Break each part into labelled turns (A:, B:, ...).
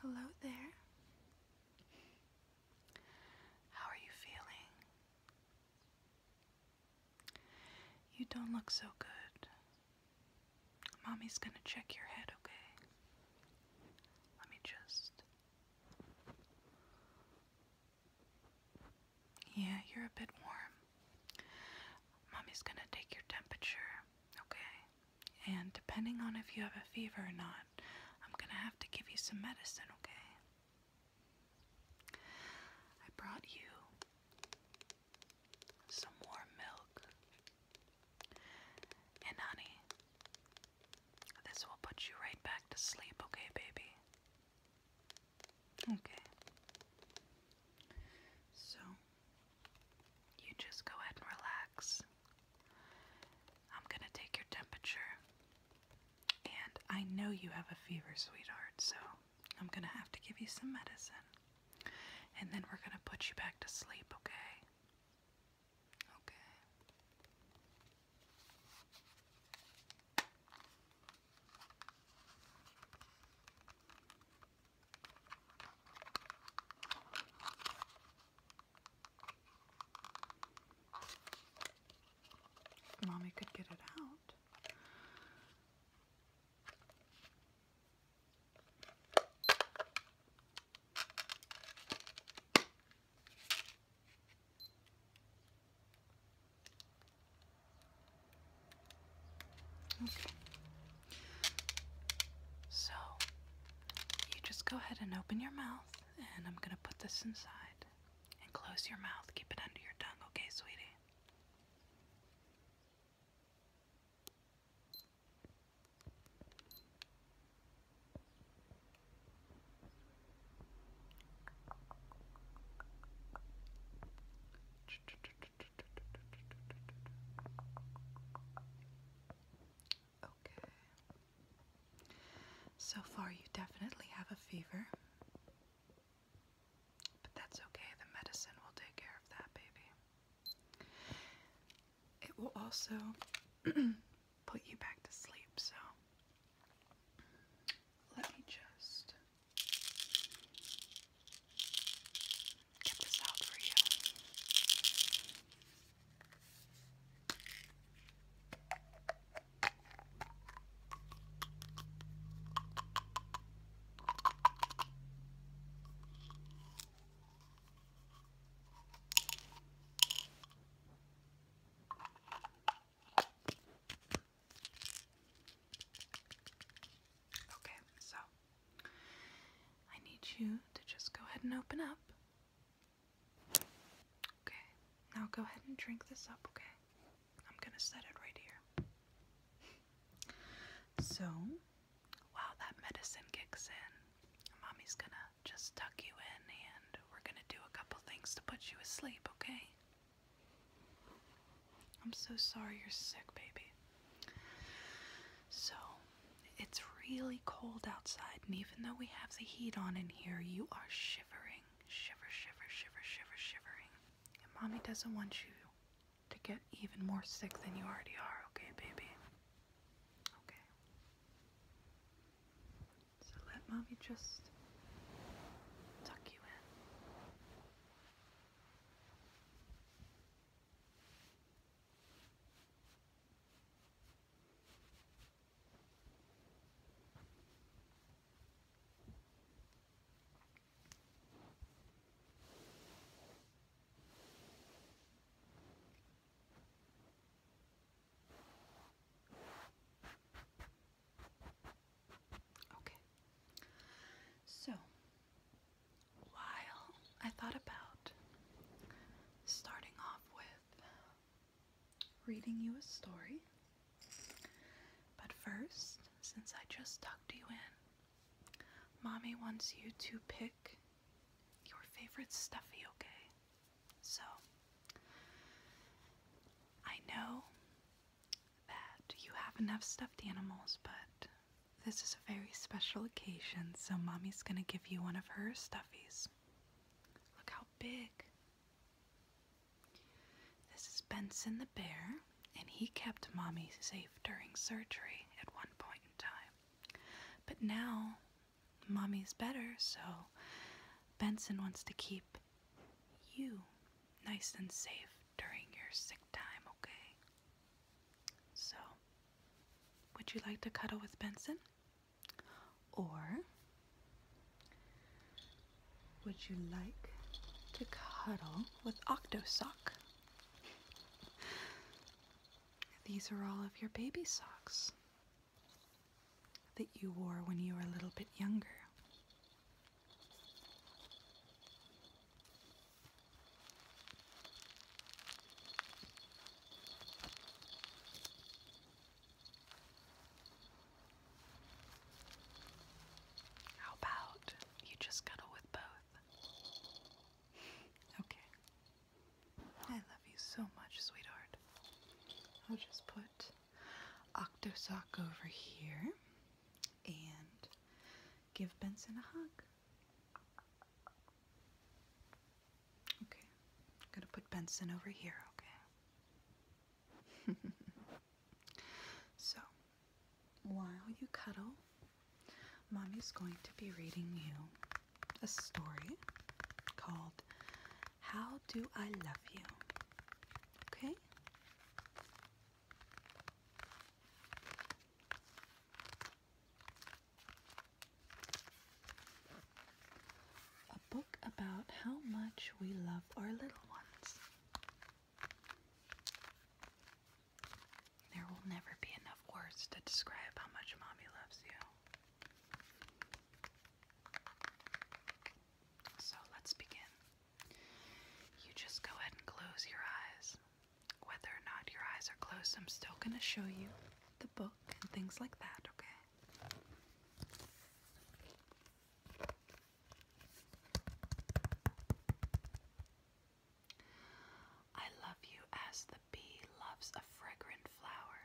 A: Hello there. How are you feeling? You don't look so good. Mommy's gonna check your head, okay? Let me just. Yeah, you're a bit warm. Mommy's gonna take your temperature, okay? And depending on if you have a fever or not, I'm gonna have to give you some medicine, okay? I brought you some warm milk. And honey, this will put you right back to sleep, okay, baby? Okay. So, you just go ahead and relax. I'm going to take your temperature. And I know you have a fever, sweetheart, so I'm going to have to give you some medicine. And then we're going to put you back to sleep, okay? Okay. Mommy could get it out. Okay. So, you just go ahead and open your mouth, and I'm going to put this inside. And close your mouth. Keep it under your tongue, okay, sweetie? Okay. So far, you definitely have a fever. But that's okay, the medicine will take care of that, baby. It will also put you back to sleep, so let me just get this out for you. Okay, so I need you to just go ahead and open up. Okay, now go ahead and drink this up, okay? I'm gonna set it right here. So, while that medicine kicks in, mommy's gonna just tuck you in and we're gonna do a couple things to put you asleep, okay? I'm so sorry you're sick, baby. So, it's really cold outside, and even though we have the heat on in here, you are shivering. Shiver, shiver, shiver, shiver, shivering. And mommy doesn't want you to get even more sick than you already are, okay, baby? Okay. So, let mommy just tuck you in. Okay. So, while I thought about starting off with reading you a story, but first, since I just tucked you in, Mommy wants you to pick your favorite stuffy, okay? So, I know that you have enough stuffed animals, but this is a very special occasion, so mommy's gonna give you one of her stuffies. Look how big. This is Benson the bear, and he kept mommy safe during surgery at one point in time. But now, mommy's better, so Benson wants to keep you nice and safe during your sick time, okay? So, would you like to cuddle with Benson? Or would you like to cuddle with Octosock? These are all of your baby socks that you wore when you were a little bit younger. How about you just cuddle with both? okay. I love you so much, sweetheart. I'll just put Octo sock over here and give Benson a hug. Okay, I'm gonna put Benson over here, okay? so, while you cuddle, Mommy's going to be reading you a story called How Do I Love You Okay. A book about how much we love our little ones. There will never be enough words to describe how much mommy loves you. So let's begin. You just go ahead and close your eyes. Whether or not your eyes are closed, I'm still going to show you the book and things like that, okay? I love you as the bee loves a fragrant flower.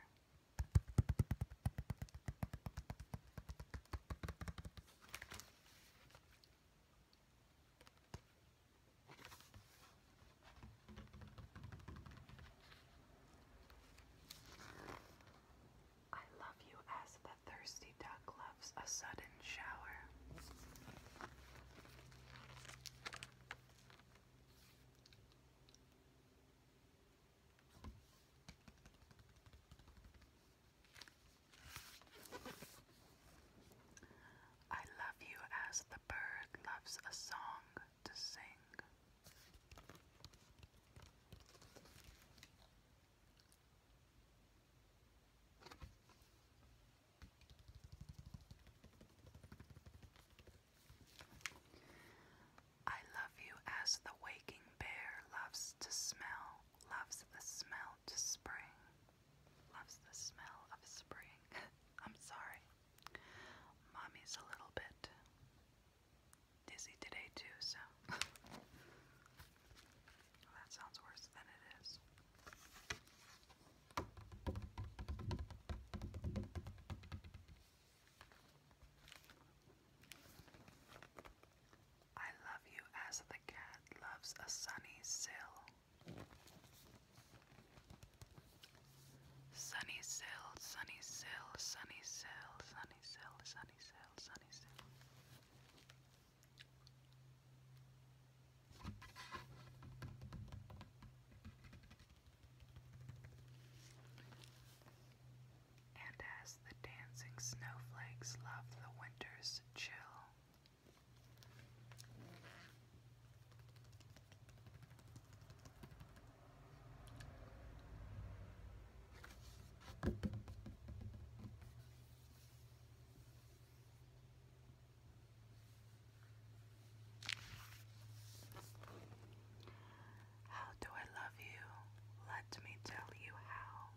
A: I love you as the thirsty duck loves a sudden shower. I love you as the bird loves a song to sing. I love you as the waking bear loves to smell, loves the smell to spring, loves the smell of spring. I'm sorry. Mommy's a little bit dizzy today, too, so that sounds worse than it is. I love you as the cat loves a sunny sill. Sunny sill, sunny sill, sunny sill, sunny sill, sunny sill, sunny sill and as the dancing snowflakes love the winter's chill. How do I love you? Let me tell you how.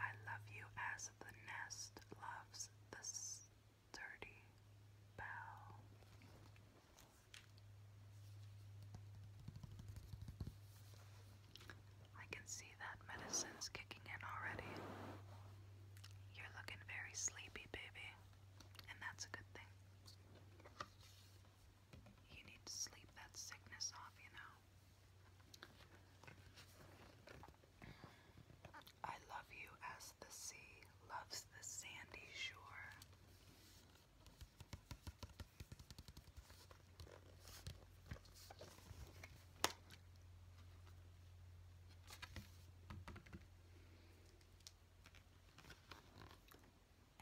A: I love you as the nest loves the sturdy bough. I can see that medicine's kicking in already. You're looking very sleepy, baby, and that's a good thing. You need to sleep that sickness off, you know. I love you as the sea loves the sandy shore.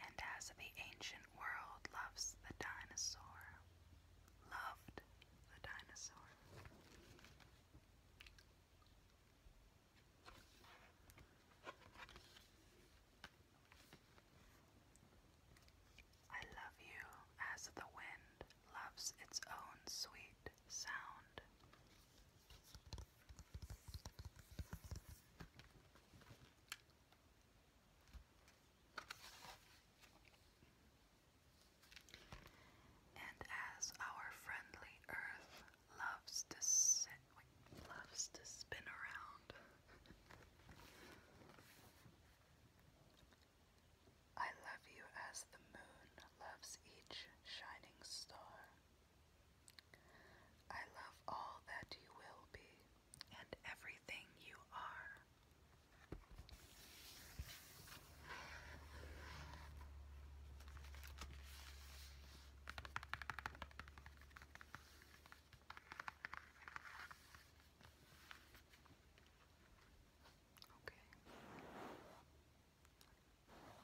A: And as the ancient world loves the dinosaur, loved the dinosaur. I love you as the wind loves its own sweet sound. And as our friendly Earth loves to sit, loves to spin around, I love you as the moon loves each shining star. I love all that you will be and everything you are. Okay.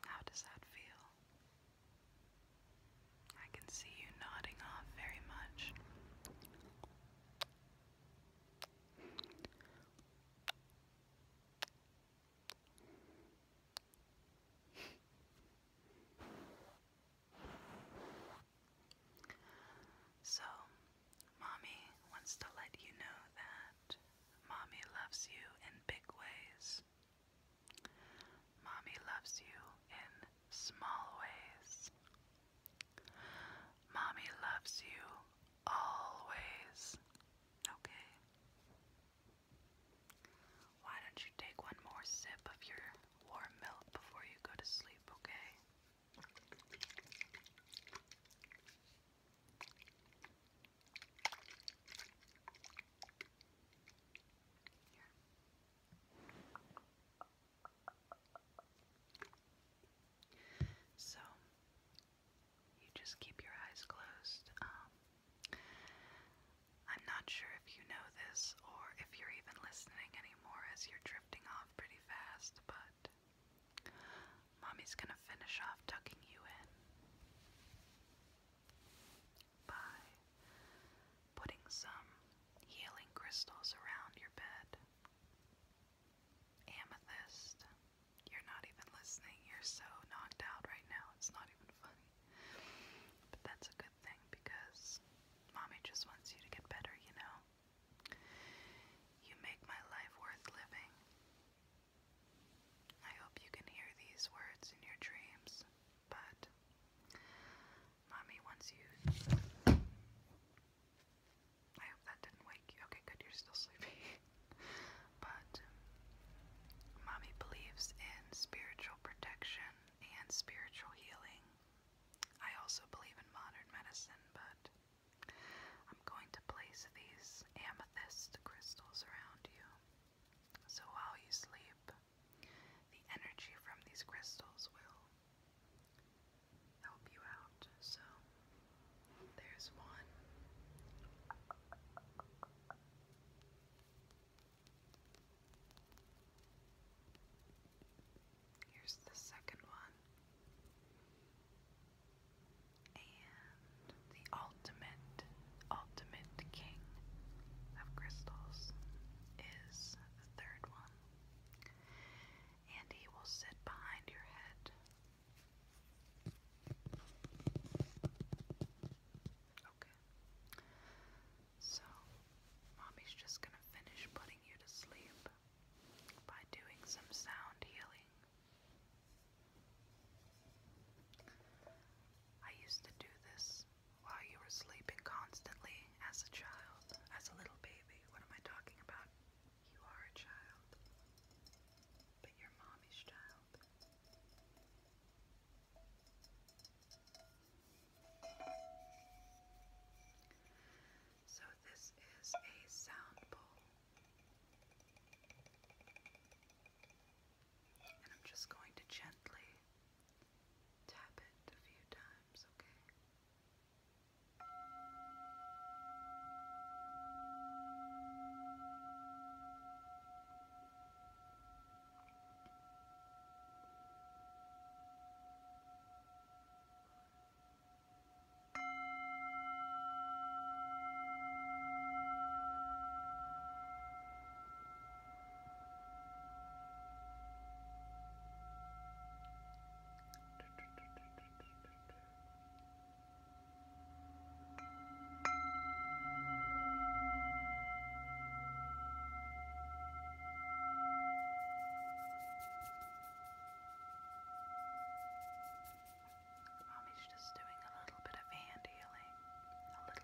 A: How does that feel? I can see you nodding off very much. So, Mommy wants to let you know that Mommy loves you in big ways. Mommy loves you in small ways. Mommy loves you always. Okay? Why don't you take one more sip of your warm milk before you go to sleep, okay? So you just keep your eyes closed. Um, I'm not sure if you know this or if you're even listening anymore as you're drifting off pretty fast, but Mommy's gonna finish off tucking you in by putting some healing crystals around your bed. Amethyst, you're not even listening. You're so knocked out right now. It's not even funny. But that's a good thing because mommy just wants you to get better, you know? You make my life worth living. I hope you can hear these words in your dreams but mommy wants you. I hope that didn't wake you. Okay, good, you're still sleepy. but um, mommy believes in spiritual protection and spiritual healing. I also believe in modern medicine, but I'm going to place these amethyst crystals around you. So while you sleep, the energy from these crystals will help you out. So there's one. Here's the second one. And the ultimate ultimate king of crystals is the third one. And he will sit behind your head. Okay. So, mommy's just gonna finish putting you to sleep by doing some sound healing. I used to do this while you were sleeping constantly as a child, as a little baby. What am I talking about? You are a child, but you mommy's child. So, this is a sound bowl. And I'm just going to gently tap it a few times, okay? Mommy's just doing a little bit of hand healing, a little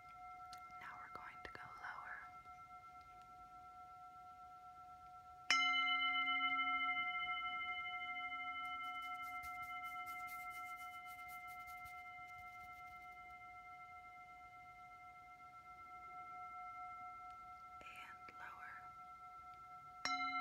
B: Now we're going to go lower. And lower. And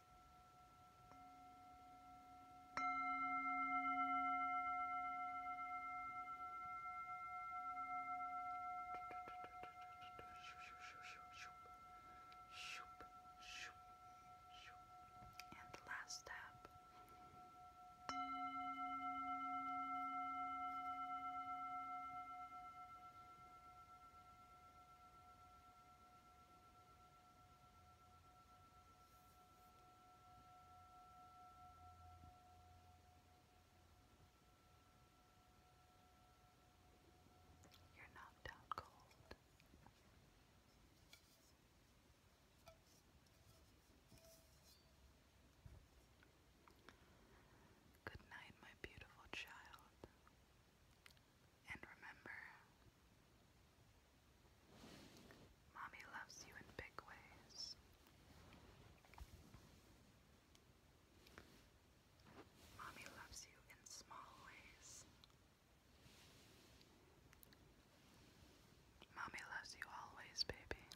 A: And the last tap. Good. You're knocked out cold. Good night, my beautiful child. And remember, Mommy loves you in big ways. Mommy loves you in small ways. Mommy loves you always, baby.